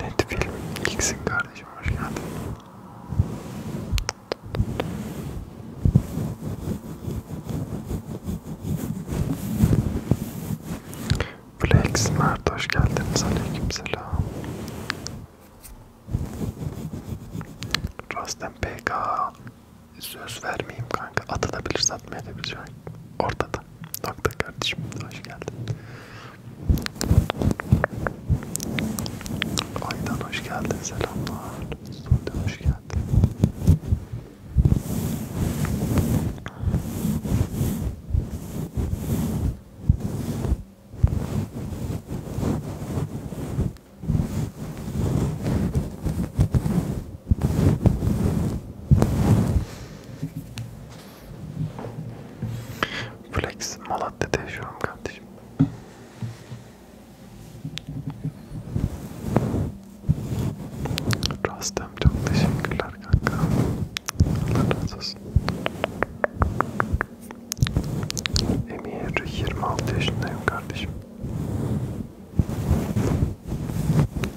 Net film ilksin kardeşim hoş geldin. Flex Mert hoş geldiniz aleykümselam. Rostem PK söz vermeyeyim kanka atılabilir satmaya da Ortada nokta. Nokta kardeşim. Hoş geldin. Aydan hoş geldin. Selamlar. Sude hoş geldin. Flex Malatya'da yaşıyorum kardeşim. Rastem çok teşekkürler kanka. Allah razı olsun. Emir 26 yaşındayım kardeşim.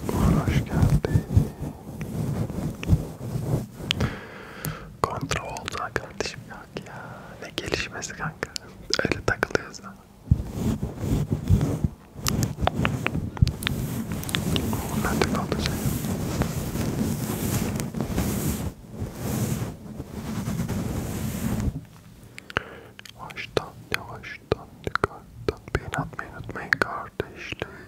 Uğur hoş geldin. Kontrol olsa kardeşim yok ya. Ne gelişmesi kanka. Öyle takılıyoruz da. Uğur nerede kaldı sen? Baştan yavaştan yukarıdan beni atmayı unutmayın kardeşlerim.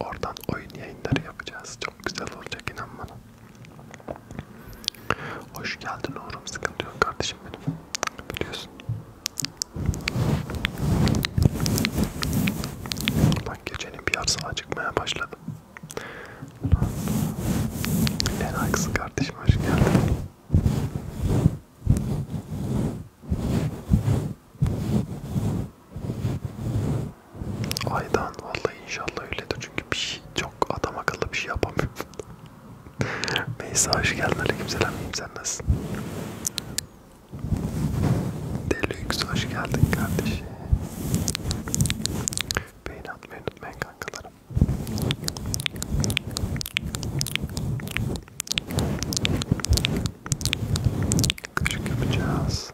Oradan oyun yayınları yapacağız. Çok güzel olacak inan bana. Hoş geldin Uğur'um. Sıkıntı yok kardeşim benim. Biliyorsun. Bak gecenin bir yarısı acıkmaya başladım. En haksız kardeşim hoş geldin. Aydan vallahi inşallah öyledir çünkü bir şey çok adam akıllı bir şey yapamıyorum. Meysa hoş geldin aleykümselam sen nasılsın? Deluxe hoş geldin kardeşim. Beğeni atmayı unutmayın kankalarım. Küçük yapacağız.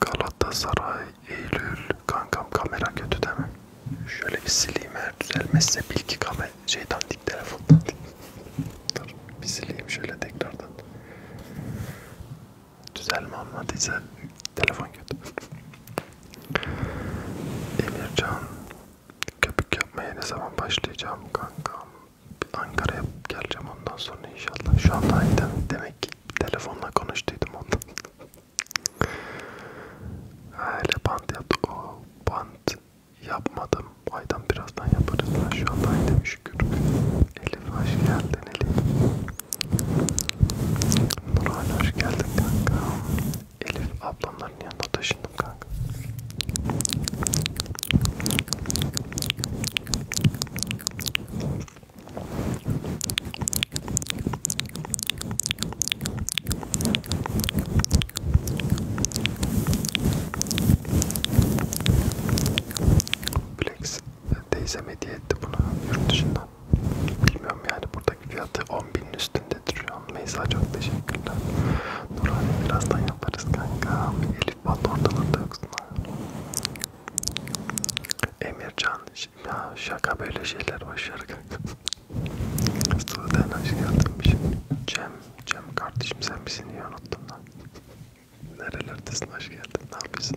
Galatasaray Eylül kankam kamera kötü değil mi? Şöyle bir sileyim eğer düzelmezse bil ki kamera şeyden dik telefondan. Dur bir sileyim şöyle tekrardan. Düzelme olmadıysa telefon kötü. Emircan köpük yapmaya ne zaman başlayacağım kankam? Ankara'ya geleceğim ondan sonra inşallah. Şu anda demek ki telefonla konuştuydum ondan. Öyle bant yaptı. O bant yapmadım. Aydan birazdan yaparız. Ben şu anda ay demiş Elif hoş geldin Elif. Nurhan hoş geldin kanka. Elif ablamların yanına taşındım kanka. Flex teyzem hediye etti bunu yurt dışından. Bilmiyorum yani buradaki fiyatı 10.000'in üstündedir şu an. Meysa çok teşekkürler. Nurhane birazdan yaparız kanka. Elif Bat ortalarda yoksun. Emircan ya şaka böyle şeyler başarı Sudan hoş geldin şey. Cem, Cem kardeşim sen misin diye unuttum lan. Nerelerdesin hoş geldin ne yapıyorsun?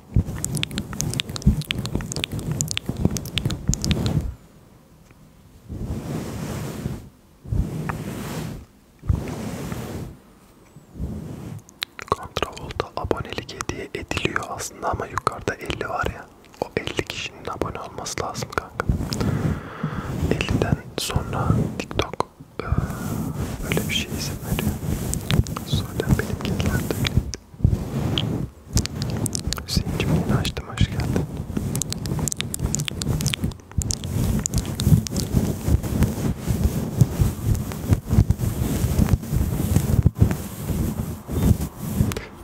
Kontrolda abonelik hediye ediliyor aslında ama yukarıda 50 var ya. O 50 kişinin abone olması lazım kanka. 50'den sonra TikTok böyle bir şey izin veriyor. Sonra benimkiler de Hüseyin'cim yine açtım, hoş geldin.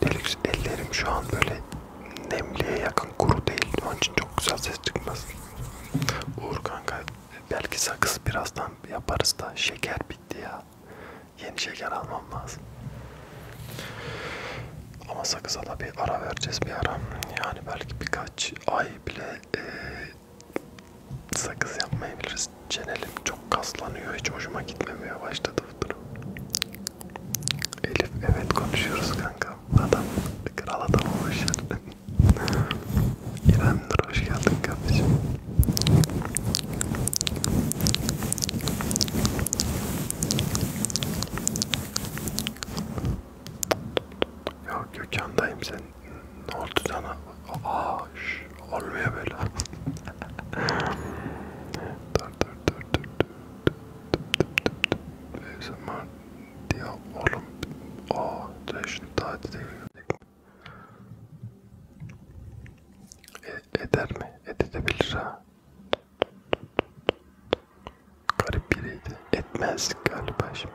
Deluxe ellerim şu an böyle nemliğe yakın kuru değil. Onun için çok güzel ses çıkmaz. Uğur kanka Belki sakız birazdan yaparız da şeker bitti ya. Yeni şeker almam lazım. Ama sakıza da bir ara vereceğiz bir ara. Yani belki birkaç ay bile e, sakız yapmayabiliriz. Çenelim çok kaslanıyor. Hiç hoşuma gitmemeye başladı bu durum. Elif evet konuşuyoruz kanka. Adam kral adam olmuş. İrem'dir hoş geldin kardeşim. Yok Gökhan'dayım sen. Ne oldu sana? Aa, şş, olmuyor böyle. dur dur dur dur dur. Beyzimar diye oğlum. Aa, da şimdi daha e, eder mi? Edebilir ha. Garip biriydi. Etmez galiba şimdi.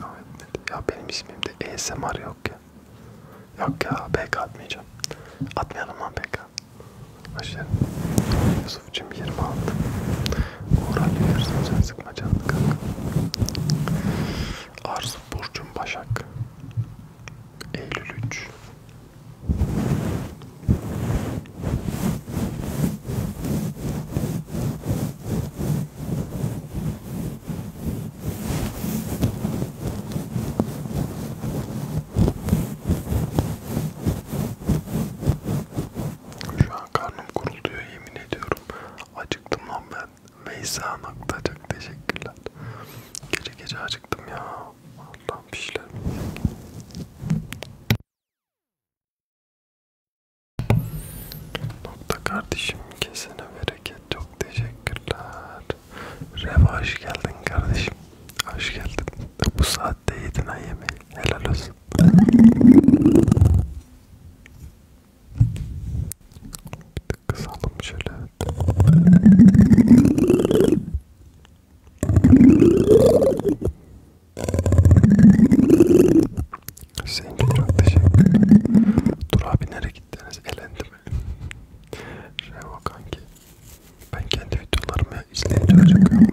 Ya, ya benim ismimde ASMR yok ya. Yok ya BK atmayacağım. Atmayalım lan BK. Başlayalım. Yusuf'cum 26. Uğur Ali Ersun sen sıkma canını kanka. Arzu Burcum Başak. Eylül 3. Şu an Vallahi karnım kuruluyor yemin ediyorum. Acıktım lan ben. Meysa Nakta çok teşekkürler. Gece gece acıktım ya. Allah'ım bir şeyler. Nokta kardeşim kesene bereket çok teşekkürler. Reva hoş geldin kardeşim. Hoş geldin. Bu saatte yedin ha yemeği. Helal olsun. Bir tık kısalım şöyle. Sen çok teşekkür Dur abi nereye gittiniz? Elendi mi? Revo kanki. Ben kendi videolarımı izleyince acıkıyorum.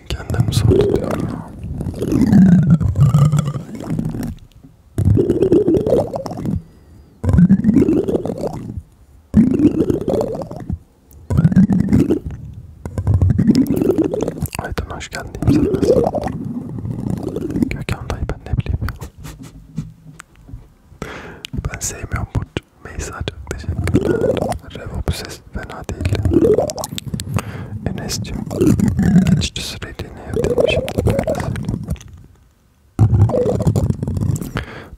için kendimi zor tutuyorum. Aydın hoş geldin. Gökhan dayı ben ne bileyim ya. Ben sevmiyorum bu Meysa çok teşekkürler. Revo bu ses fena değil. Enes'cim geçti süreliğine evdeyim şimdi böyle söyleyeyim.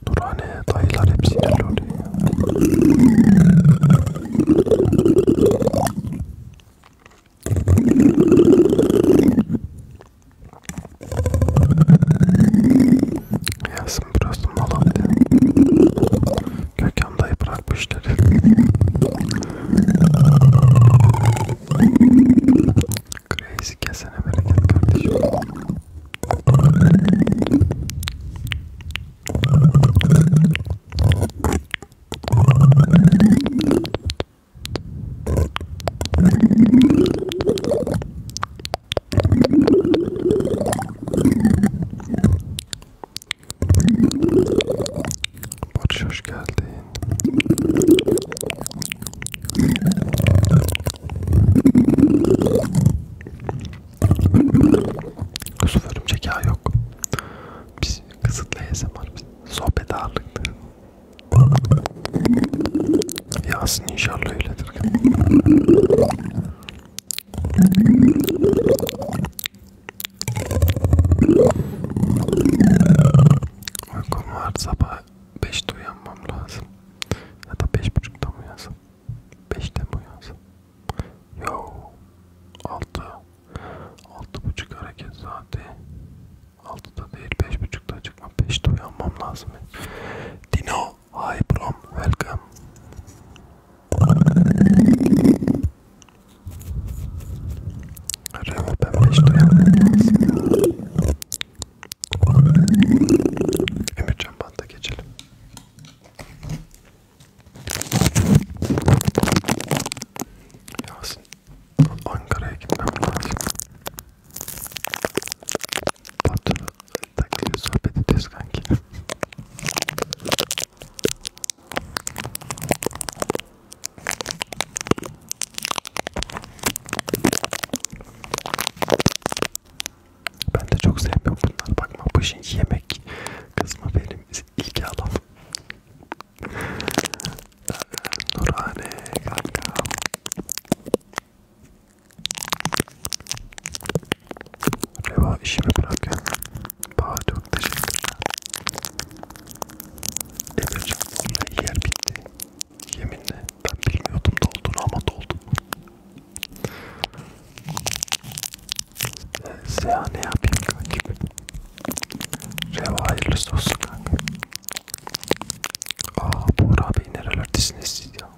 Nurhane'ye dayılar hep sinirli oluyor. Yasin burası Malatya'da. Gökhan dayı bırakmışlar. Crazy kesene bereket kardeşim. Barış hoş geldin. Kusurlarım zeka yok. Biz kısıtlı ASMR, sohbet ağırlıklı. Yasin inşallah öyledir. Uykum var sabah 5'te uyanmam lazım. Ya da 5.30'da mı uyansam? 5'te mi uyansam? Yo. 6. 6.30 hareket saati. 6'da değil 5.30'da çıkma. 5'te uyanmam lazım. Dino. Hi Brom, welcome. Remo ben 5 Emircan Band'a geçelim. Yasin, Ankara'ya gitmem lazım. Batı'da Takıyla sohbet edeceğiz kanki. Ben de çok sevmiyorum bunlar. Bakma bu işin yemek kısmı benim ilgi alanım. Ee, Nurhane kanka. Reva işimi bırakın. Daha çok teşekkürler. Emrecan vallahi yer bitti. Yeminle ben bilmiyordum dolduğunu ama doldu. Ee, Seha ne yapayım kankim? Reva hayırlısı olsun kankim. Aa Buğra Bey nerelerdesiniz siz ya?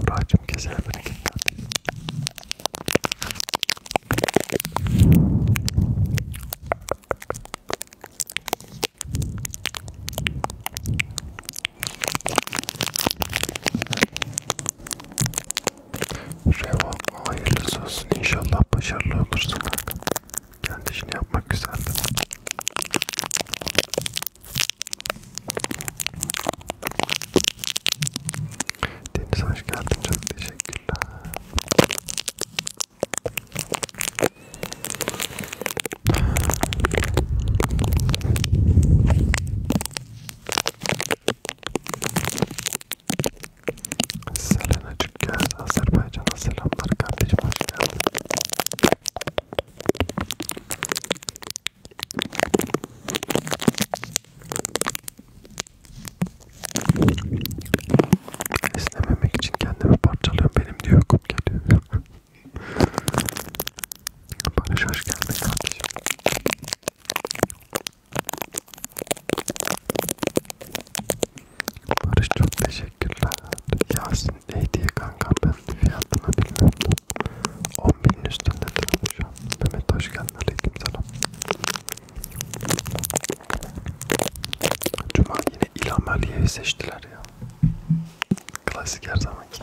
Buracım keser beni kendin. Revan hayırlısı olsun inşallah başarılı olursun kanka. Kendi işini yapmak güzeldi. Deniz hoş geldin çok teşekkürler. Selenacık geldi Azerbaycan'a selamlar kardeşim hoş geldin. İstememek için kendimi parçalıyorum. Benim diyor kum geliyor. Bana şarj gelmedi kardeşim. Barış çok teşekkürler. Yasin Hediye kanka ben fiyatını bilmiyordum. 10.000'in üstündedir şu an. Mehmet hoş geldin. Aleyküm selam. Cuma yine İlham Aliye'yi seçtiler ya. Klasik her zamanki.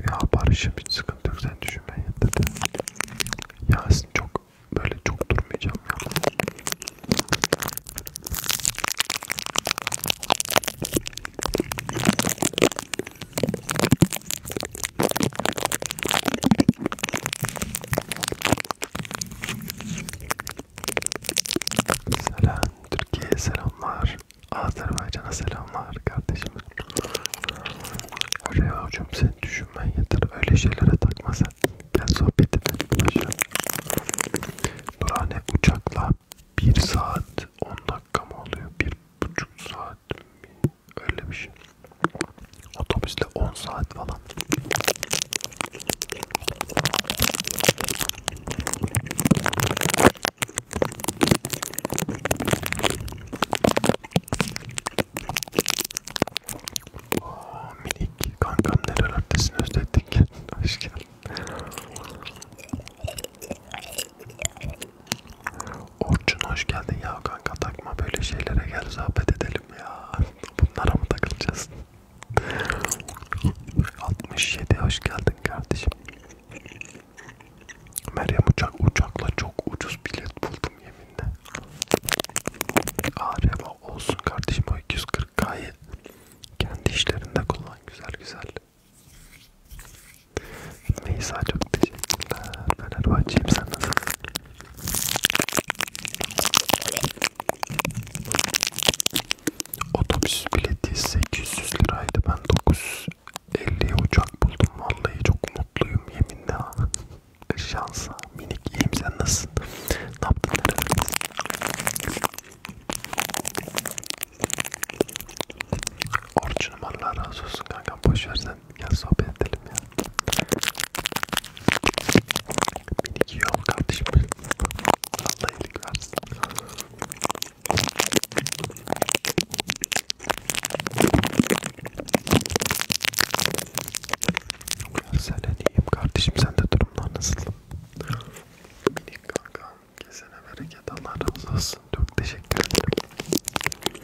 Ya Barış'ım hiç sıkıntı yok sen düşünme yeter de. Yasin çok böyle çok durmayacağım ya. Selam Türkiye'ye selamlar. Azerbaycan'a selamlar kardeşim. Reya'cığım sen düşünmen yeter. Öyle şeylere takma sen. Gel sohbet edelim. Başla. Nurhane uçakla 1 saat 10 dakika mı oluyor? 1,5 saat mi? Öyle bir şey. Otobüsle 10 saat falan. Ooo minik kankam nerelerdesin özledik. Hoş geldin. Orçun hoş geldin ya kanka takma böyle şeylere gel zahmet edelim değilim ya. Bunlara mı takılacağız? 67 hoş geldin kardeşim. Meryem uçak uçakla çok ucuz bilet buldum yeminle. Araba olsun kardeşim o 240k'yı kendi işlerinde kullan güzel güzel. Neyse çok teşekkürler. Fenerbahçe'yim sen nasılsın? Otobüs bileti 800 liraydı. Ben 950'ye uçak buldum. Vallahi çok mutluyum yeminle. Şansa minik iyiyim sen nasılsın? Ne yaptın? Orçunum Allah razı olsun kankam boşver sen Gel sohbet edelim ya. Beni iki yol kardeşim. Allah iyilik versin. Ya sen diyeyim kardeşim sende durumlar nasıl? Minik kanka kesene bereket Allah razı olsun. Çok teşekkür ederim.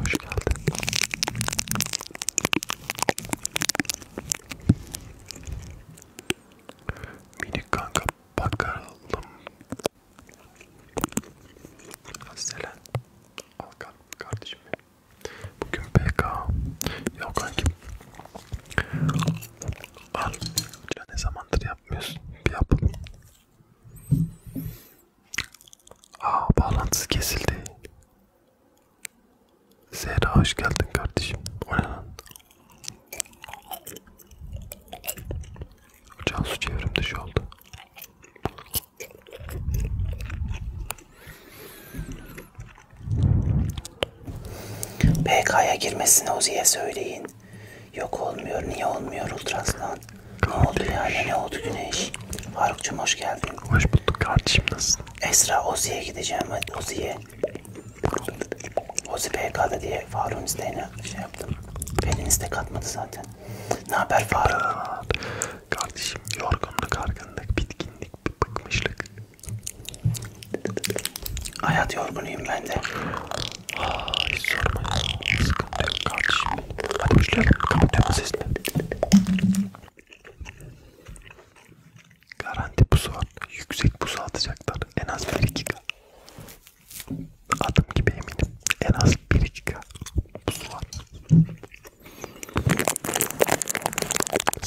Hoş geldin. Minik kanka bakalım. Selen. Al kardeşim. Bugün PK. Yok kankim. Al. Ne zamandır yapmıyorsun? Bir yapalım. Aa bağlantısı kesildi. Zehra hoş geldin kardeşim. O ne lan? Cansu çevrim dışı oldu. PK'ya girmesini Uzi'ye söyleyin. Yok olmuyor, niye olmuyor Ultraslan? Ne oldu dünyaya ne oldu güneş? Faruk'cum hoş geldin. Hoş bulduk kardeşim nasılsın? Esra Ozi'ye gideceğim hadi Ozi'ye. Ozi PK'da diye Faruk'un isteğine şey yaptım. Pelin istek atmadı zaten. Ne haber Faruk? Kardeşim yorgunluk, argınlık, bitkinlik, bir bıkmışlık. Hayat yorgunuyum ben de. Aa, hiç sorma ya. Sıkıntı yok kardeşim. Hadi başlayalım. Kapatıyorum sesini. Garanti pusu var. Yüksek pusu atacaklar. En az 1-2K. Adım gibi eminim. En az 1-2K pusu var.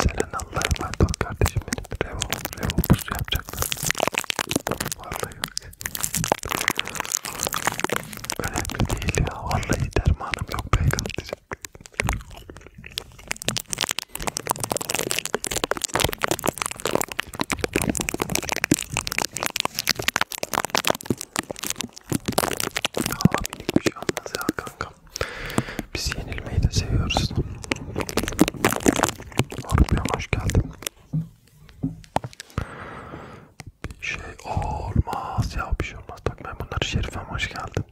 Senin Allah'ıma dur kardeşim benim. Revo, revo pusu yapacaklar. Vallahi yok. Önemli değil ya. Vallahi dermanım yok pek atacak. Aa, minik bir şey olmaz ya kanka. Biz yenilmeyi de seviyoruz. Orpiyam hoş geldin. Bir şey olmaz ya bir şey olmaz. Bak ben bunları Şerif'e hoş geldin.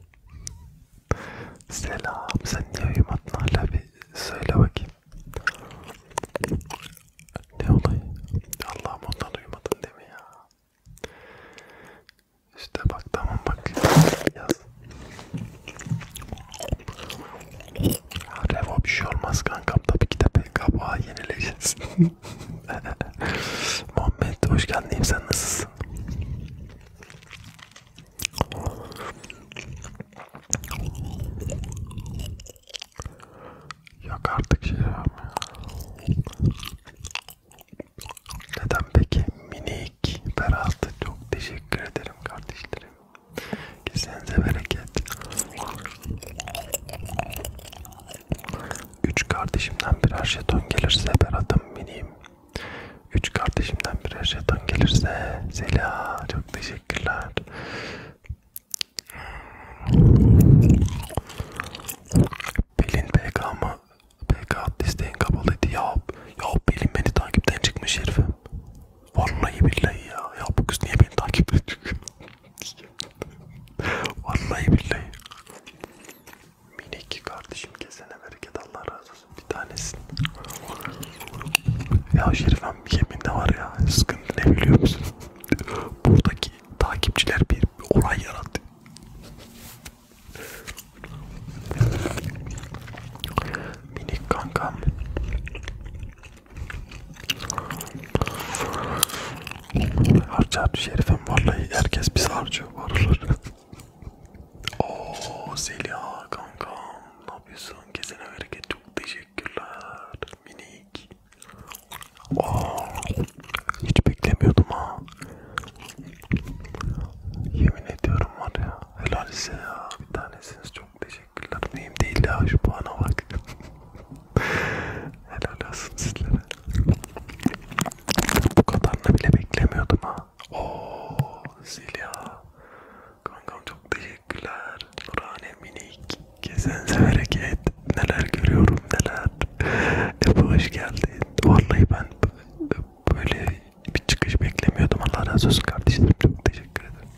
Selam. Sen niye uyumadın hala bir söyle bakayım. Ne olayı? Allah'ım ondan uyumadın değil mi ya? İşte bak tamam bak yaz. Revo bir şey olmaz kankam tabii ki de PKB'a yenileceğiz. Muhammed hoş geldin. Sen nasılsın? Yok artık şey ya. Neden peki minik Berat çok teşekkür ederim kardeşlerim. Kesinize bereket. Üç kardeşimden birer jeton gelirse Berat'ım benim. Üç kardeşimden birer jeton gelirse Zela çok teşekkürler. Pelin PK mı? PK listeyin kapalıydı ya. Ya Pelin beni takipten çıkmış herifim. Vallahi billahi ya. Ya bu kız niye beni takipten çıkıyor? Vallahi billahi. Minik kardeşim kesene bereket Allah razı olsun bir tanesin. Ya Şerifem yeminle var ya sıkıntı ne biliyor musun? Buradaki takipçiler bir olay yarattı. Minik kankam. Harcı harcı şerifim vallahi herkes biz harcıyor varlar. Oo Zeliha kankam ne yapıyorsun? Kesene hareket çok teşekkürler minik. Oo hiç beklemiyordum ha. Yemin ediyorum var ya helal size ya bir tanesiniz çok teşekkürler. Neyim değil ya şu puana bak. Helal olsun sizlere. Bu kadarını bile beklemiyordum ha. Ooo Zilya. Kankam çok teşekkürler. Nurhane minik. Gezen severek et. Neler görüyorum neler. Ebu hoş geldin. Vallahi ben böyle bir çıkış beklemiyordum. Allah razı olsun kardeşlerim. Çok teşekkür ederim.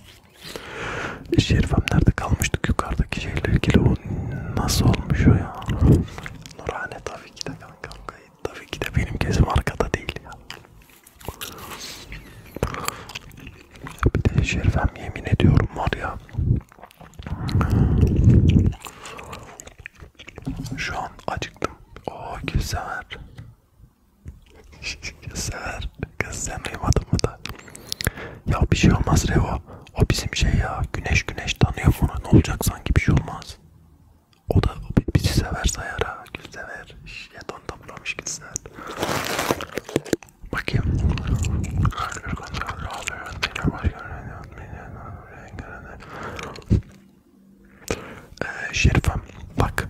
Şerifem nerede kalmıştık yukarıdaki şeyle ilgili onu Nasıl olmuş o ya? Nurhane tabii ki de kanka. Tabii ki de benim kesim arkada değil ya. Bir de Şerifem yemin ediyorum var ya. Şu an acıktım. Oo güzel. Güzel. Kız sen duymadın mı da? Ya bir şey olmaz Revo. O bizim şey ya güneş güneş tanıyor bunu ne olacak sanki bir şey olmaz. O da bizi sever sayar ha gül sever. Yeton toplamış gitsinler. Bakayım. Ee, Şerifem bak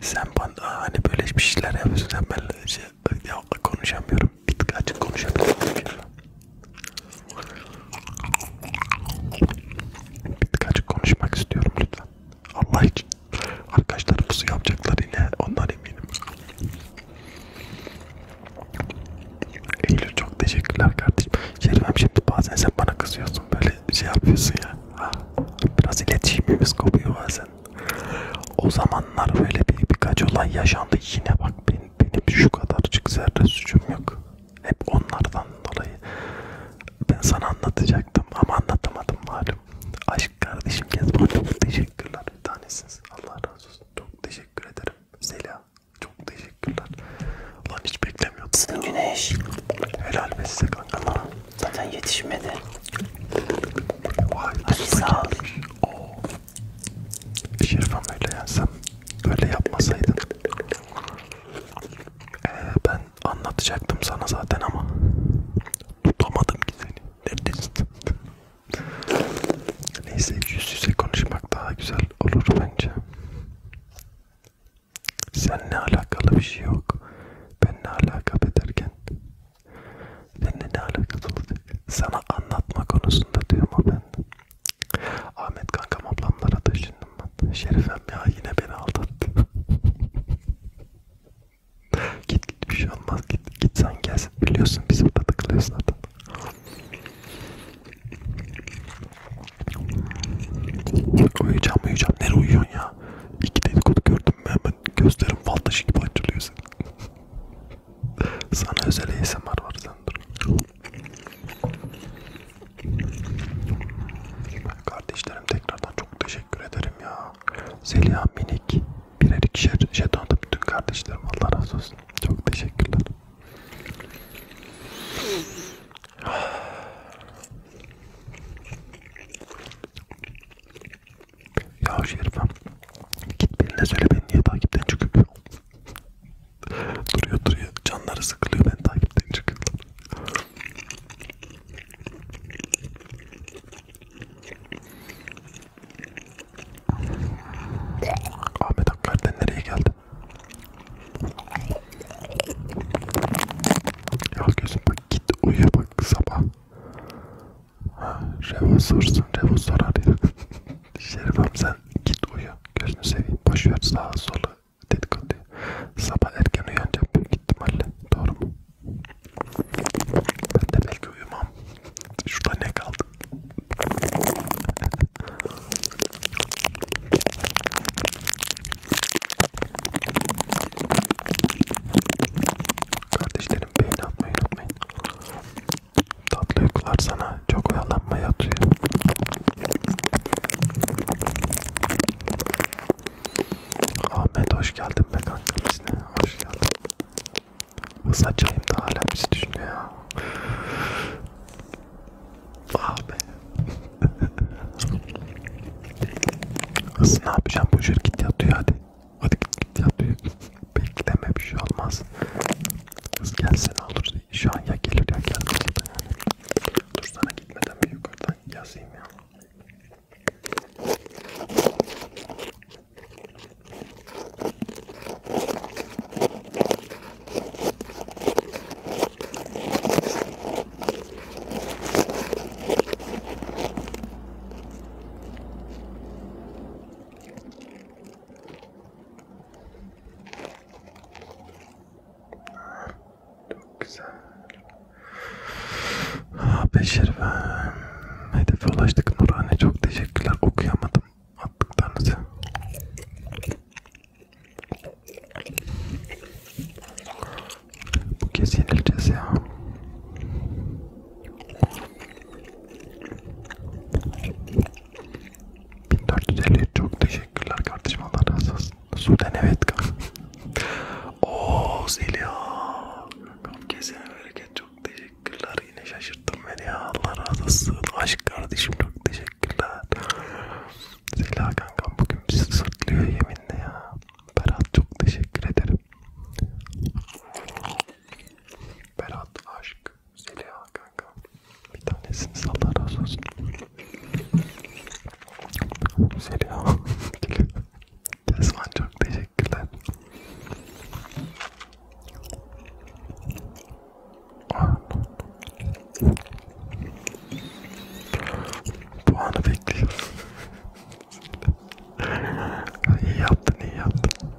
sen bana hani böyle bir şeyler yapıyorsun sen ben şey, ya konuşamıyorum. Bir tık açık konuşabilirim. Bir tık açık konuşmak istiyorum lütfen. Allah için. Arkadaşlar pusu yapacaklar yine. Ondan eminim. Eylül çok teşekkürler kardeşim. Şerifem şimdi bazen sen bana kızıyorsun. Böyle şey yapıyorsun ya. Ha. Biraz iletişimimiz kopuyor bazen. O zamanlar böyle bir birkaç olay yaşandı yine bak beni benim şu kadarcık zerre suçum yok. Hep onlardan dolayı. Ben sana anlatacaktım ama anlatamadım malum. Aşk kardeşim Kezban çok teşekkürler bir tanesiniz. Allah razı olsun. Çok teşekkür ederim. Zeliha çok teşekkürler. Ulan hiç beklemiyordum. Güneş. Helal be size kankalar. Zaten yetişmedi. Vay. Hadi sağ ol. Oo, Şerifem öyle yensem, öyle yapmasaydın. Ee, ben anlatacaktım sana zaten ama tutamadım ki seni. Neredesin? Neyse yüz yüze konuşmak daha güzel olur bence. Seninle alakalı bir şey yok. Benimle alakalı ederken Benimle ne alakası olacak? Sana anlatma konusunda diyorum ama ben. Ahmet kankam ablamlara taşındım ben. Şerifem ya yine beni aldattı. git bir şey olmaz git, git sen gelsin biliyorsun biz burada tıklıyoruz zaten. uyuyacağım uyuyacağım nereye uyuyorsun ya? İki dedikodu gördüm hemen gözlerim fal taşı gibi açılıyor senin. Sana özel ASMR var sen dur. Kardeşlerim tekrardan çok teşekkür ederim ya. Zeliha minik birer ikişer jetonda bütün kardeşlerim Allah razı olsun. Çok teşekkürler. Ya Şerifem git birine söyle beni niye takipten çıkıp duruyor duruyor. Canları sıkılıyor. Ben takipten çıkıyorum. Ahmet Akkar'dan nereye geldi? Ya gözüm bak git uyu bak sabah. Ha, Revo sorsun. Revo sorar ya. Şerifem sen git uyu. Gözünü seveyim. Boşver sağa sola dedikodu. Sabah erken uyanacağım büyük ihtimalle. Doğru mu? Ben de belki uyumam. Şurada ne kaldı? Kardeşlerim beğeni atmayı unutmayın. Tatlı uykular sana. Çok oyalanma yatıyor. Ahmet hoş geldin be kanka bizine. Hoş geldin. Hız açayım da hala bizi düşünüyor ya. Ah be. Hız ne yapacağım? Boşver git yat uyu hadi. Hadi git, git yat uyu. Bekleme bir şey olmaz. Kız gelse ne olur? Şu an ya gelir ya gelmez zaten yani. Dur sana gitmeden bir yukarıdan yazayım ya. Çok güzel. Ha, ah, Beşir ve hedefe ulaştık Nurhan'a çok teşekkürler okuyamadım attıklarınızı. Bu kez yenileceğiz ya. 1450 çok teşekkürler kardeşim Allah razı olsun. Suden evet kanka. Ooo Zeliha. Kesene bereket çok teşekkürler. Yine şaşırttın beni ya Allah razı olsun. Aşk kardeşim çok teşekkürler. Zeliha kankam bugün bizi sırtlıyor yeminle ya. Berat çok teşekkür ederim. Berat aşk. Zeliha kanka. Bir tanesiniz Allah razı olsun. Zeliha. Kesman çok teşekkürler. Bu anı bekliyorum. iyi yaptın, iyi yaptın.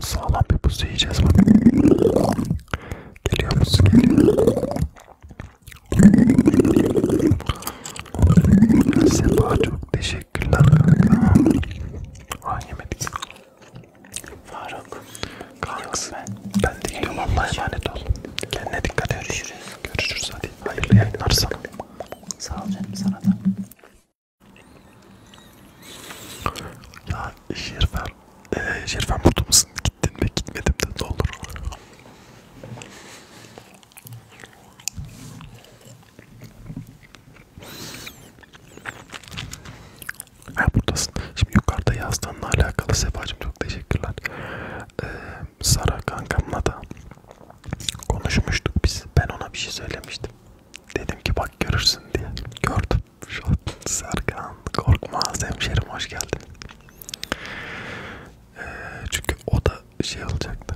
Sağlam bir buz yiyeceğiz bak. Geliyor buz geliyor. Sefa çok teşekkürler. Ay yemedik. Faruk. Kanks. Ben. Ben de gidiyorum Allah'a emanet ol. Kendine dikkat et. Görüşürüz. Görüşürüz hadi. Hayırlı yayınlar sana. Sağ ol canım sana da. Ya Şerfen, ee, Şerfen burada mısın? Gittin mi? Gitmedim de ne olur. Ha buradasın. Şimdi yukarıda yazdığınla alakalı Sefacığım çok teşekkürler. Ee, Sara kankamla da konuşmuştuk biz. Ben ona bir şey söylemiştim. Dedim ki bak görürsün diye. Gördüm. Şu an Serkan korkmaz hemşerim hoş geldin. Ee, çünkü o da şey olacaktı.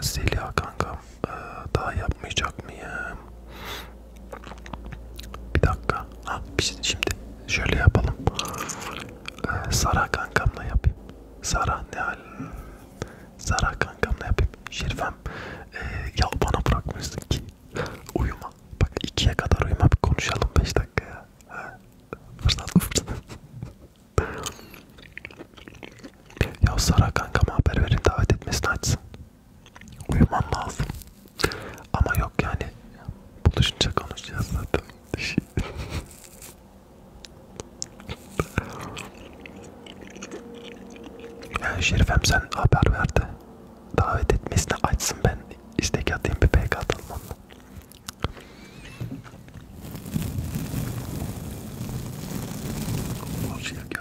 Zeliha kankam e, daha yapmayacak mıyım? Bir dakika. Ha, şey, şimdi şöyle yapalım. Ee, Sara kankamla yapayım. Sara ne hal? Sara kankamla yapayım. Şerifem ee, ya bana bırakmışsın ki uyuma. Bak ikiye kadar uyuma bir konuşalım 5 dakika ya. Ha, fırsat fırsat. ya Sara kankama haber verin davet etmesini açsın. Uyumam lazım. Ama yok yani buluşunca konuşacağız zaten. yani Şerifem sen haber verdi. Davet etmesini açsın ben istek atayım bir pk atalım onunla. Hoş geldin.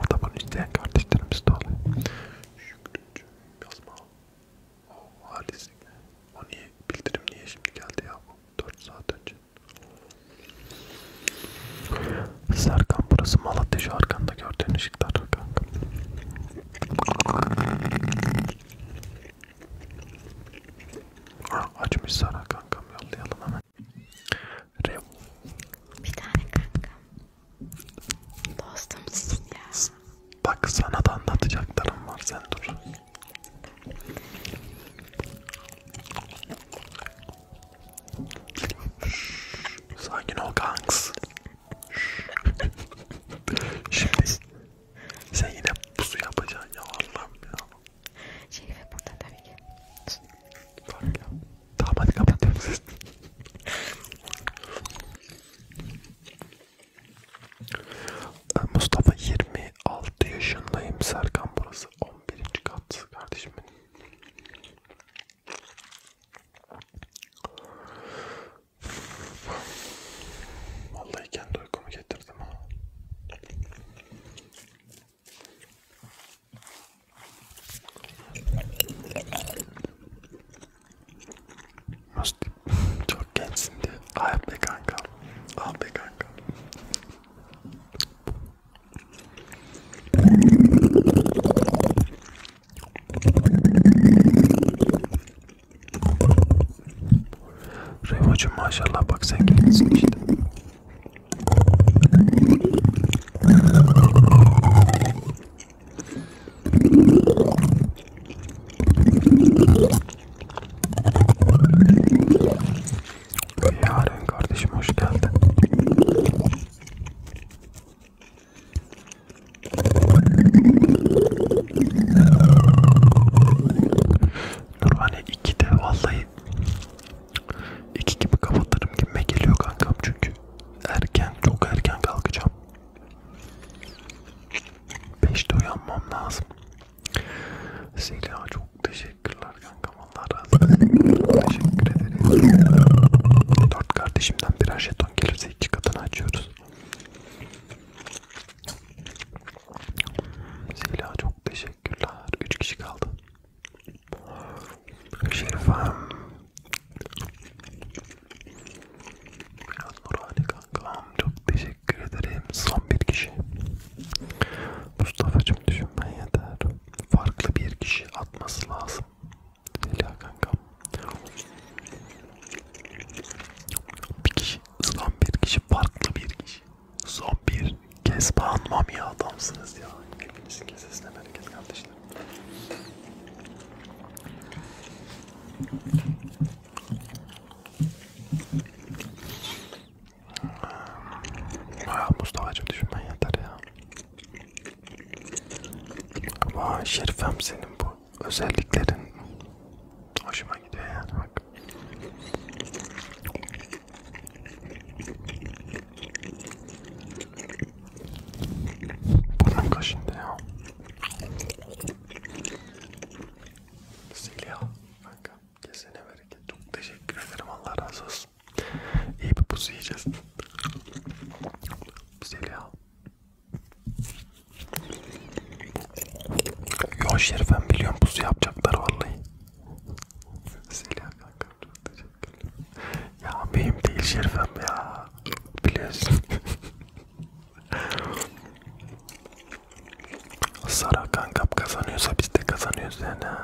O da bunu isteyen kardeşlerimiz de oluyor. Şükrücü yazma. O oh, halislik. O niye? Bildirim niye şimdi geldi ya bu? 4 saat önce. Serkan burası Malatya şu arkanda gördüğün ışıklar kanka. Açmış Sara kankam yollayalım hemen. Rev. Bir tane kankam. Dostumsun ya. Bak sana da anlatacaklarım var sen dur. Sakin ol kanks. Şimdi sen yine pusu yapacaksın ya Allah'ım ya. Şerife burada tabii ki. Tabii Tamam hadi kapatıyorum sizi. Mustafa 26 yaşındayım. Serkan burası 11. kat kardeşim benim. Vallahi kendi uykumu getirdim ha. Çok gençsin diye. Ah be kanka. Ah be kanka. Revacım maşallah bak sen gençsin işte. Yarın kardeşim hoş geldin. Nurhane vallahi İki gibi kapatırım gibime geliyor kankam çünkü erken çok erken kalkacağım. Beşte uyanmam lazım. Zeliha çok teşekkürler kankam Allah razı olsun. Teşekkür ederim. Dört kardeşimden birer jeton gelirse iki katını açıyoruz. Zeliha çok teşekkürler. Üç kişi kaldı. Şerif Hanım. Biraz Nurhane kankam. Çok teşekkür ederim. Son bir kişi. Mustafa'cım düşünmen yeter. Farklı bir kişi atması lazım. Zeliha kankam. Bir kişi, son bir kişi, farklı bir kişi. Son bir kez bağlanmam ya adamsınız ya. Hepinizin kesesine bereket kardeşim. Ha, Mustafa'cım düşünmen yeter ya. Vay Şerifem senin bu özelliklerin hoşuma gidiyor yani bak. Buram kaşındı ya. Silya kanka kesene bereket. Çok teşekkür ederim Allah razı olsun. İyi bir pusu yiyeceğiz. Silya. Yo Şerifem biliyorum pusu yapacaklar vallahi. Silya kanka çok teşekkür Teşekkürler. Ya benim değil şerifim ya. Biliyorsun. Sara kankam kazanıyorsa biz de kazanıyoruz yani.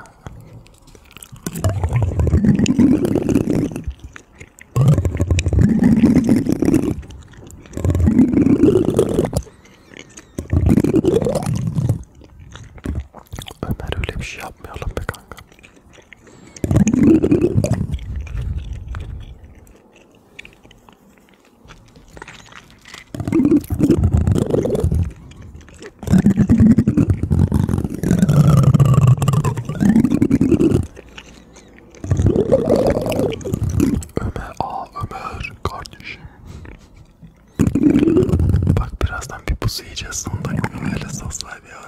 Ömer öyle bir şey yapmayalım be kanka. Ömer, aa Ömer kardeşim. Bak birazdan bir pusu yiyeceğiz sonunda. Ömer'le soslar bir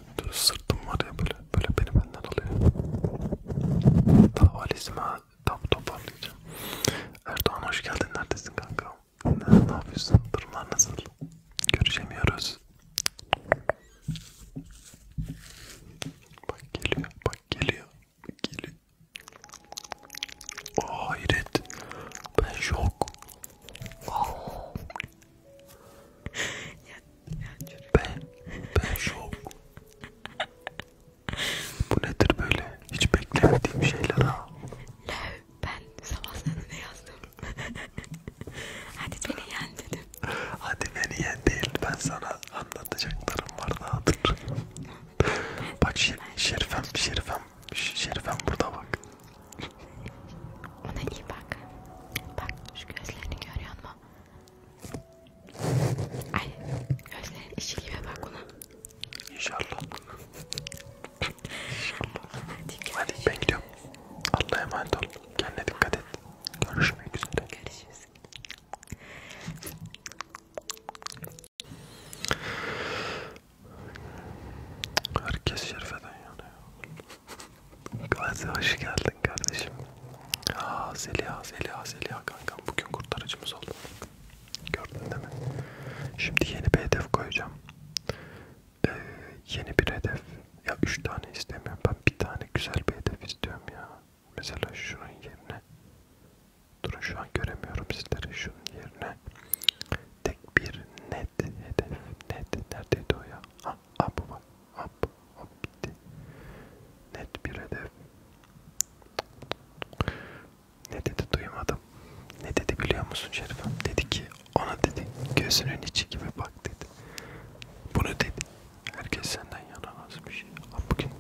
sırtım var ya böyle böyle beni benden alıyor. Davalizme tam toparlayacağım. Erdoğan hoş geldin neredesin kanka? Ne, ne yapıyorsun? Durumlar nasıl? Görüşemiyoruz. Bak geliyor, bak geliyor, bak geliyor. Oh hayret, ben şok. Oh. Ben, ben şok. Bu nedir böyle? Hiç beklemediğim şeyler ha. Löv, ben sabah sana ne yazdım? Hadi beni yen dedim. Hadi beni yen değil, ben sana anlatacaklarım var daha dur. Bak şer, Şerifem, Şerifem, Şerifem burada bak. Ona iyi bak. Bak şu gözlerini görüyor musun? Ay gözlerin işi gibi bak ona. İnşallah. İnşallah. Hadi bekliyorum. Allah'a emanet ol. Kendine dikkat et. Görüşmek üzere. Görüşürüz. Herkes şerifeden yanıyor. Gazi hoş geldin kardeşim. Aa, Zeliha, Zeliha, Zeliha kankam bugün kurtarıcımız oldu. Gördün değil mi? Şimdi yeni bir hedef koyacağım. Ee, yeni bir hedef. Ya üç tane istemiyorum. Ben bir tane güzel bir hedef istiyorum ya. Mesela şunun yerine. Durun şu an göremiyorum sizleri. Şunun yerine. Tek bir net hedef. Net. Neredeydi o ya? Ha, ha bu bak. Hop hop gitti. Net bir hedef. Ne dedi duymadım. Ne dedi biliyor musun Şerifem? Dedi ki ona dedi gözünün içi gibi bak dedi. Bunu dedi. Herkes senden yanamaz bir şey. Ama bugün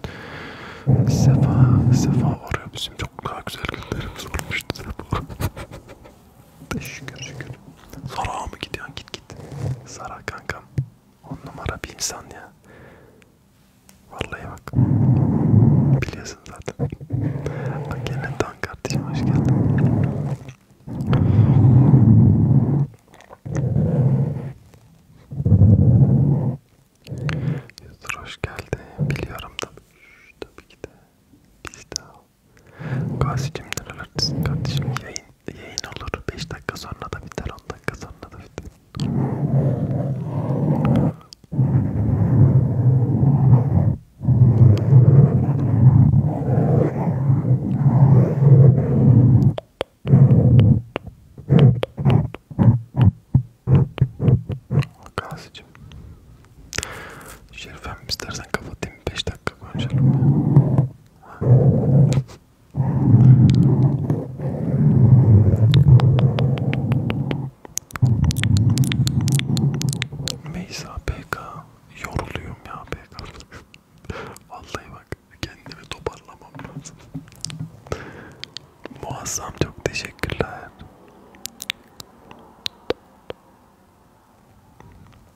Sefa, Sefa oraya bizim çok daha güzel günlerimiz olmuştu Sefa. şükür şükür. Sarağa mı gidiyorsun? Git git. Sara kankam. On numara bir insan ya. Vallahi bak. Biliyorsun zaten. Bak gelen Tan kardeşim hoş geldin. Yusur hoş geldi. Biliyorum tabii. Şş, tabii ki de. Biz de. Gazi'cim nerelerdesin kardeşim? Yayın yayın olur. 5 dakika sonra da biter, 10 dakika sonra da biter. Gazi'cim Şerifem istersen kapatayım 5 dakika konuşalım ya Meysa PK yoruluyorum ya PK. Vallahi bak kendimi toparlamam lazım. Muazzam çok teşekkürler.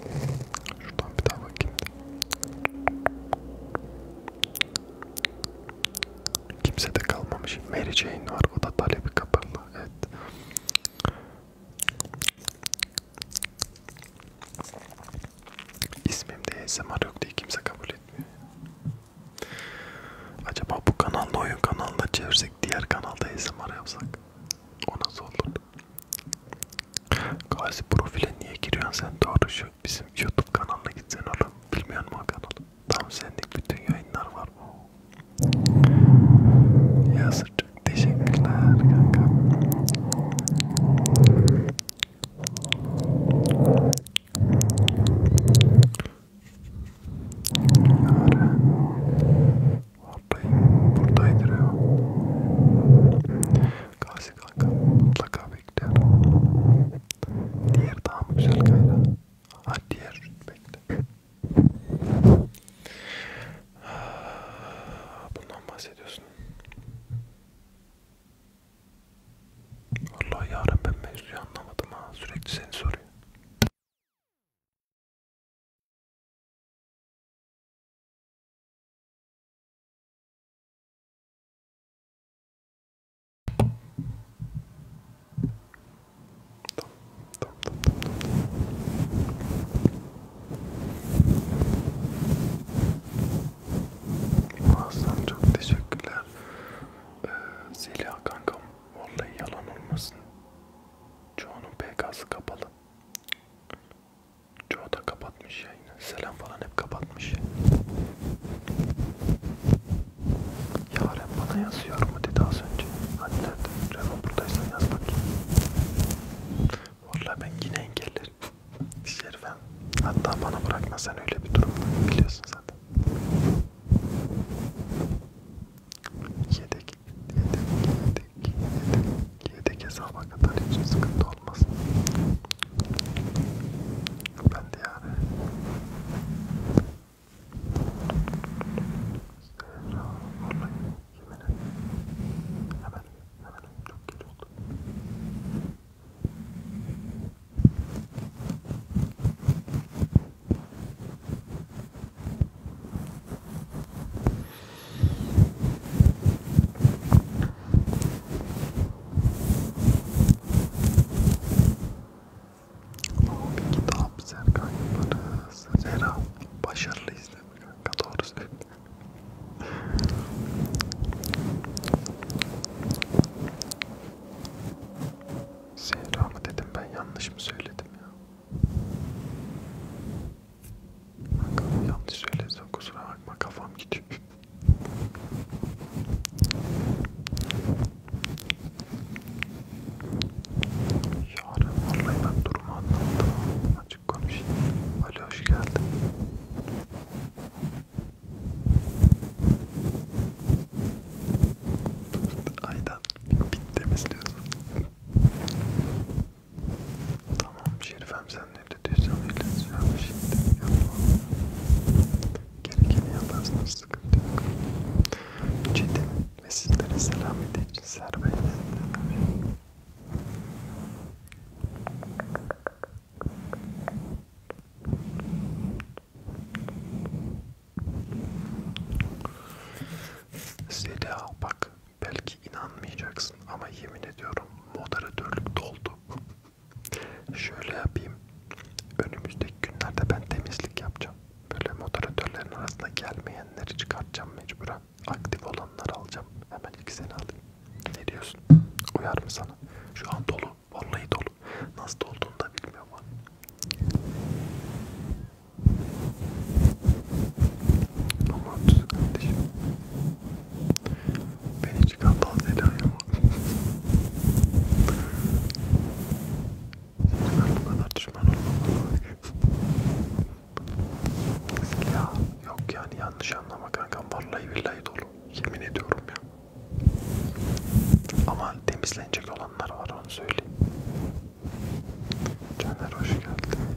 Şuradan bir daha bakayım. Kimse de kalmamış. Mary Jane var. O da talebi kapalı. Evet. İsmimde ASMR yok diye kimse kabul etmiyor. Acaba bu kanalda oyun kanalına çevirsek diğer kanalda ASMR yapsak? O nasıl olur? Gazi profile niye giriyorsun sen doğru şu bizim YouTube kanalına gitsen oğlum. Bilmiyor musun o kanalı? Tam senlik bütün yayınlar var bu. Yazıcık teşekkürler kanka. Yarın Oradayım. Buradaydır ya. Gazi kanka mutlaka bekliyorum. Diğer daha mı güzel kayra? Ha diğer bekle. Ah, bundan bahsediyorsun. Vallahi yarın ben mevzuyu anlamadım ha. Sürekli seni soruyor. Muazzam çok teşekkürler. Ee, Zeliha kankam, vallahi yalan olmasın. Çoğunun PK'sı kapalı. Çoğu da kapatmış yayını. Selam falan hep kapatmış. Yaren bana yazıyor mu dedi az önce. Hani nerede? Revan buradaysan yaz bakayım. Vallahi ben yine engellerim. Şerifem. Hatta bana bırakma sen öyle bir durum biliyorsun zaten yedek, yedek, yedek, yedek, yedek hesaba kadar hiç sıkıntı olmaz. Ben de yani. Zehra, vallahi yemin ederim. Hemen, hemen çok güzel oldu. Lobi kitap Serkan yaparız. Zera başarılı izleme kanka doğru söyle. Zehra mı dedim ben yanlış mı söyledim ya? Bakalım yanlış söylesem kusura bakma kafam gidiyor. Yarın vallahi ben durumu anlattım. Açık konuşayım. Ali hoş geldin. Aydan bit temizliyorsun. Tamam Şerifem sen ne dediysen öyle söyle şimdi şey yapalım. Gerekeni yaparsınız sıkıntı yok. Çetin ve sizlere selam edeyim. Serbest. Zeliha bak Belki inanmayacaksın ama yemin ediyorum moderatörlük doldu. Şöyle yapayım. Önümüzdeki günlerde ben temizlik yapacağım. Böyle moderatörlerin arasında gelmeyenleri çıkartacağım mecburen. Aktif olanları alacağım. Hemen ilk seni alayım. Ne diyorsun? Uyar mı sana? Şu an dolu. Vallahi dolu. Nasıl olduğunu da bilmiyorum. Aman kardeşim. Beni çıkan fazla ilan yok. ben bu kadar düşman olmamalı. ya yok yani yanlış anlama kankam. Vallahi billahi dolu. Yemin ediyorum ya. Ama temizlenecek olanlar var onu söyleyeyim. Caner hoş geldin.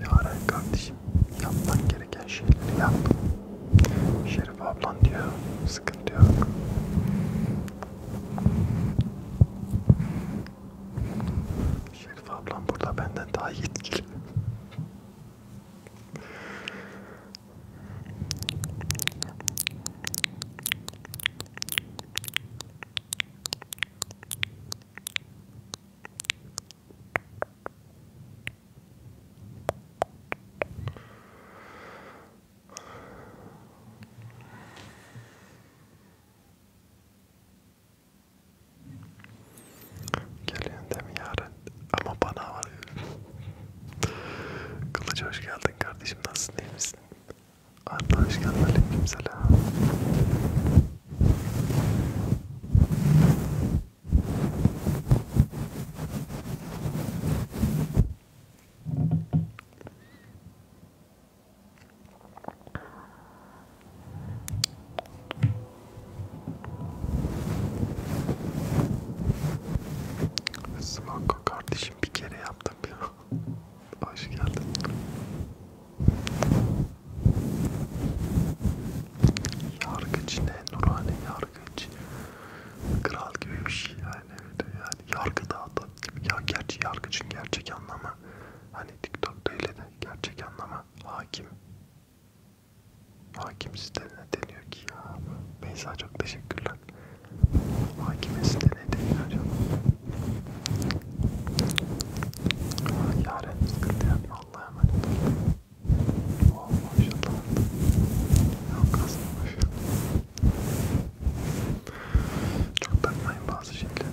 Yaren kardeşim yapman gereken şeyleri yap. Şerif ablan diyor sıkıntı yok. Şerif ablam burada benden daha yetkili. Geliyorsun değil mi yarın? Ama bana var. Kılıç hoş geldin kardeşim. Nasılsın iyi misin? Adnan hoş geldin. Aleyküm selam. Smoke kardeşim bir kere yaptım ya. Hoş geldin. Yargıç ne? Nurhane yargıç. Kral gibi bir şey yani. yani yargı dağıtan gibi. Ya gerçi yargıcın gerçek anlamı. Hani TikTok'ta öyle de gerçek anlamı. Hakim. Hakim sitelerine deniyor ki ya. Beyza çok teşekkürler. Hakimesi de ne deniyor acaba? Yaren sıkıntı yapma Allah'a emanet ol. Oh maşallah. Yok kasmamış. Çok takmayın bazı şeyleri.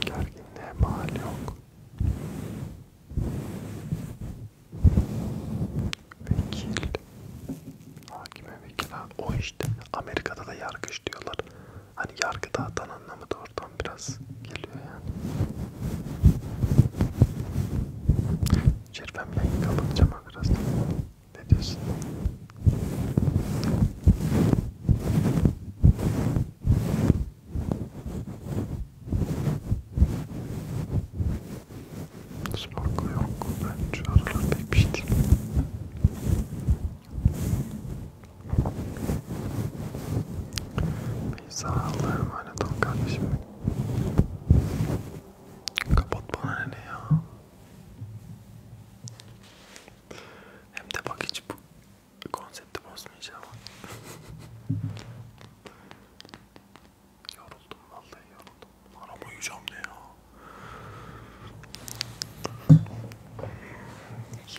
Gerginliğe mahal yok. Vekil. Hakime vekil o işte Amerika'da da yargıç diyorlar. Hani yargıda atan anlamı da oradan biraz geliyor yani. Çirvem yayın kapatacağım biraz. Ne diyorsun? Sorgu yok. Ben şu aralar pek bir şey değil. Neyse Allah'a emanet ol kardeşim. Kapat bana ne ya. Hem de bak hiç bu konsepti bozmayacağım. yoruldum vallahi yoruldum. Aram uyuyacağım ne ya.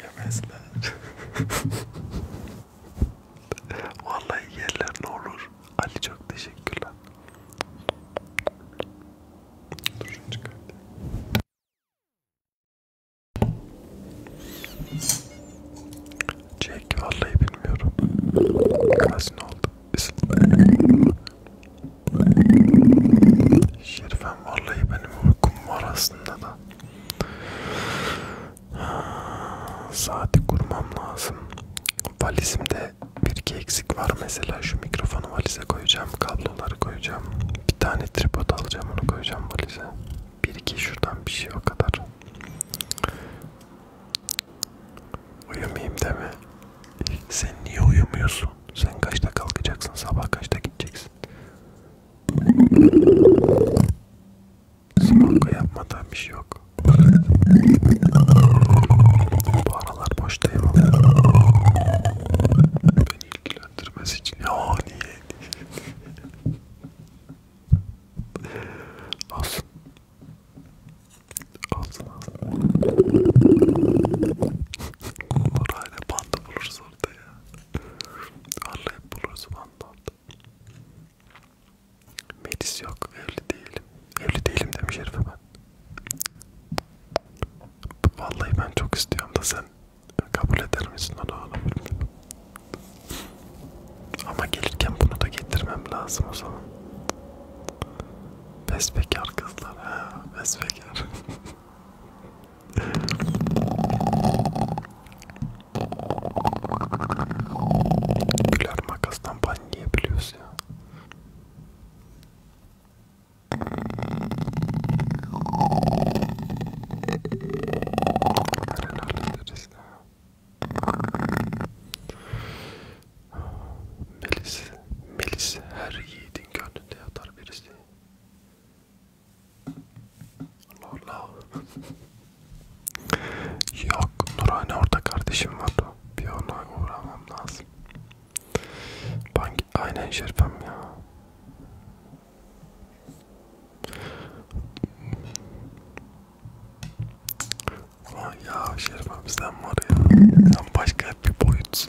Yemezler. Vallahi yerler ne olur. Ali çok teşekkürler. Dur şunu çıkartayım. Jack vallahi bilmiyorum. Kaç ne oldu? Şerifem vallahi benim uykum var aslında da. Saati kurmam lazım. Valizimde bir iki eksik var mesela şu mikrofonu valize koyacağım, kabloları koyacağım. Bir tane tripod alacağım onu koyacağım valize. Bir iki şuradan bir şey o kadar. Uyumayayım deme. Sen niye uyumuyorsun? Sen kaçta kalkacaksın? Sabah kaçta gideceksin? Simonka yapmadan bir şey yok. Bu aralar boştayım. Beni ilgilendirmez için. Ya niye? Olsun. Olsun. Orayla panda buluruz orada ya. Vallahi buluruz panda orada. Melis yok, evli değilim. Evli değilim demiş herife ben. Vallahi ben çok istiyorum da sen kabul eder misin onu onu bilmiyorum. Ama gelirken bunu da getirmem lazım o zaman. Besbekar kızlar ha, besbekar. Güler makastan ban yiyebiliyoruz ya. Melis, Melis her yiğidi senin gönlünde yatar birisi. Allah Allah. Yok Nurhane orada kardeşim var. Bir ona uğramam lazım. Ben aynen şerpem ya. Ya şerpem sen var ya. Sen başka bir boyut.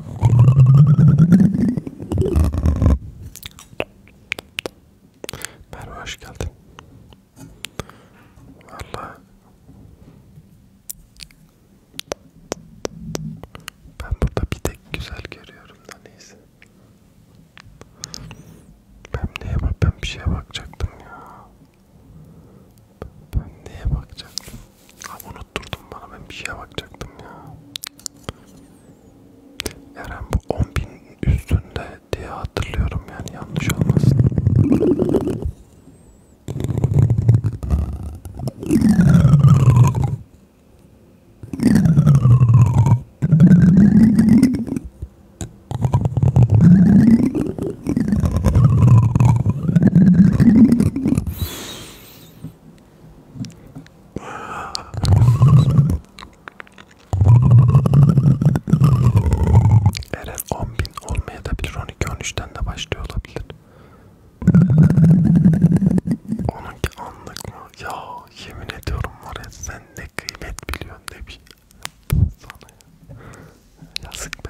Merhaba hoş geldin. Vallahi ben burada bir tek güzel görüyorum da neyse. Ben neye bak ben bir şeye bakacaktım ya. Ben neye bakacaktım? Ha bunu unutturdun bana ben bir şeye bakacaktım ya. Eren bu 10.000 üstünde diye hatırlıyorum yani yanlış olmasın. Eren 10.000 olmaya da bilir 12-13'ten de başlıyor olabilir. Onunki anlık mı? Ya yemin ediyorum var ya sen ne kıymet biliyorsun ne bir sana ya. Yazık be.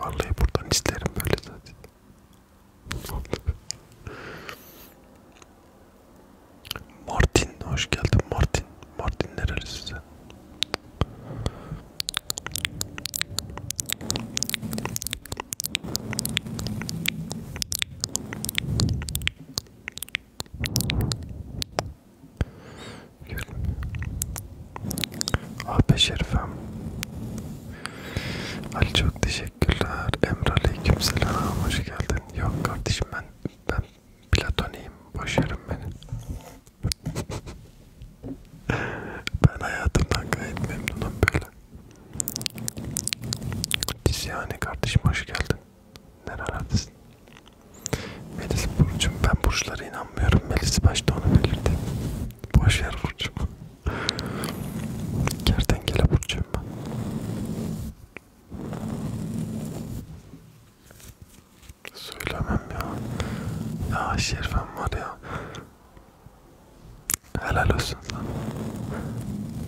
Vallahi buradan isterim böyle zaten. Martin hoş geldin Martin. Martin nerelisin sen? Gül. Ah be Şerifem. Ali çok teşekkürler. Emre aleykümselam. Hoş geldin. Yok kardeşim ben ben platoniyim. Boş yerim beni. ben hayatımdan gayet memnunum böyle. İsyane kardeşim hoş geldin. Nerelerdesin? Melis Burcu'm ben burçlara inanmıyorum. Melis başta onu belirtti. Boş ver Burcu'm. Kertenkele Burcu'yum ben. Söylemem ya. Ya Şerifem var ya. Helal olsun sana.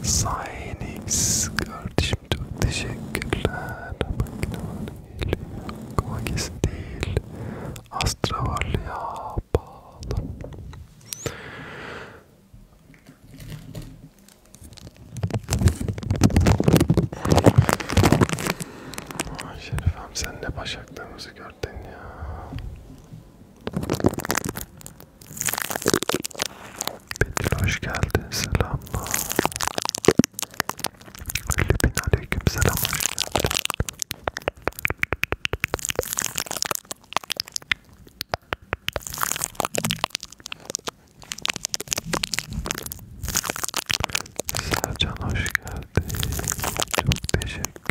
Sayenix kardeşim çok teşekkürler. Makine geliyor. Kova kesin değil. Astra varlı ya. Bağlı. Ay Şerifem sen ne başaklığımızı gördün ya. Betül hoş geldin selamlar. Lübin aleyküm selam hoş geldin. Sercan hoş geldin. Çok teşekkürler.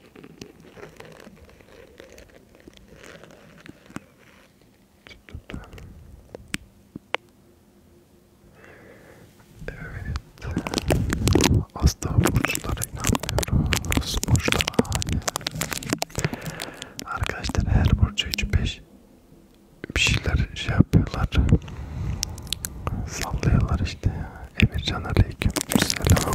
Evet. Asla burçlara inanmıyoruz. Burçlara hayır. Arkadaşlar her burcu 3-5 bir şeyler şey yapıyorlar. Sallıyorlar işte. Emircan aleyküm selam.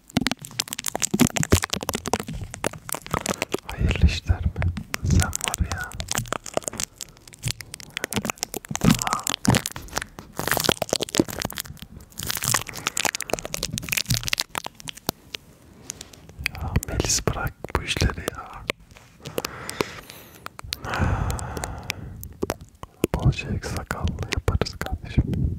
Hayırlı işler mi? Sen var ya. Tamam. Ya Melis bırak bu işleri ya. Bolca sakallı yaparız kardeşim.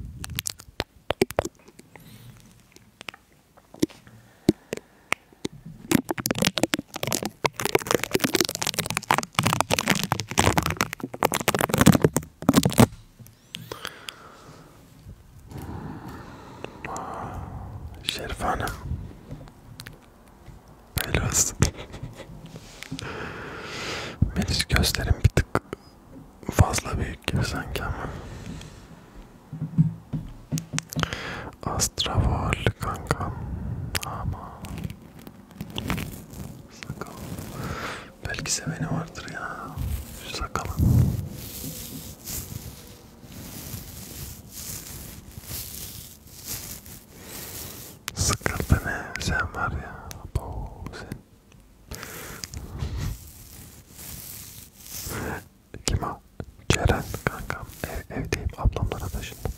Şerif Hanım Böyle olsun Melis gözlerim bir tık fazla büyük gibi sanki ama. Astravol kankam ama sakal belki seveni vardır ya şu sakalın. Sıkıntı ne sen var ya bu sen. Kim o? Ceren kankam. Ev, evdeyim. Ablamlara taşındım.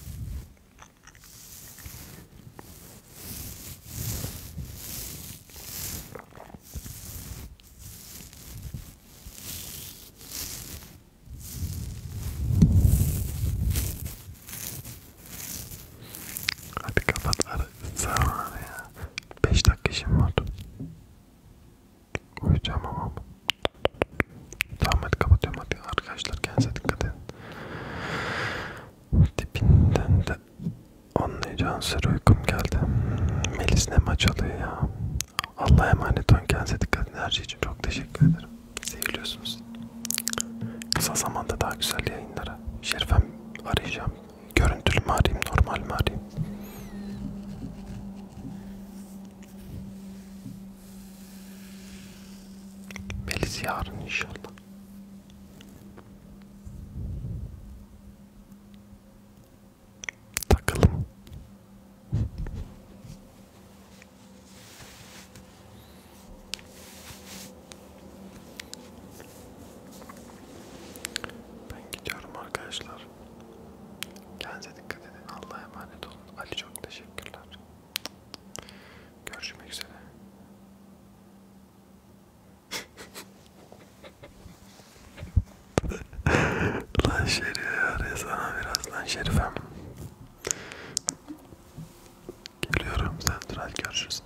Hadi kapat ara. Sen ya. 5 dakika işim var. Uyuyacağım ama. Tamam hadi kapatıyorum hadi arkadaşlar kendinize dikkat edin. Dipinden de anlayacağın sıra uykum geldi. Melis ne maç alıyor ya. Allah'a emanet olun kendinize dikkat edin. Her şey için çok teşekkür ederim. Seviliyorsunuz. Kısa zamanda daha güzel yayınlara. Şerifem arayacağım. Görüntülü mü arayayım, normal mi arayayım? Melis yarın inşallah. Takalım. Ben gidiyorum arkadaşlar. Kendinize dikkat edin. Allah'a emanet olun. Ali çok teşekkürler. Görüşmek üzere. lan Şerif sana birazdan Şerifem. Geliyorum. Sen dur görüşürüz.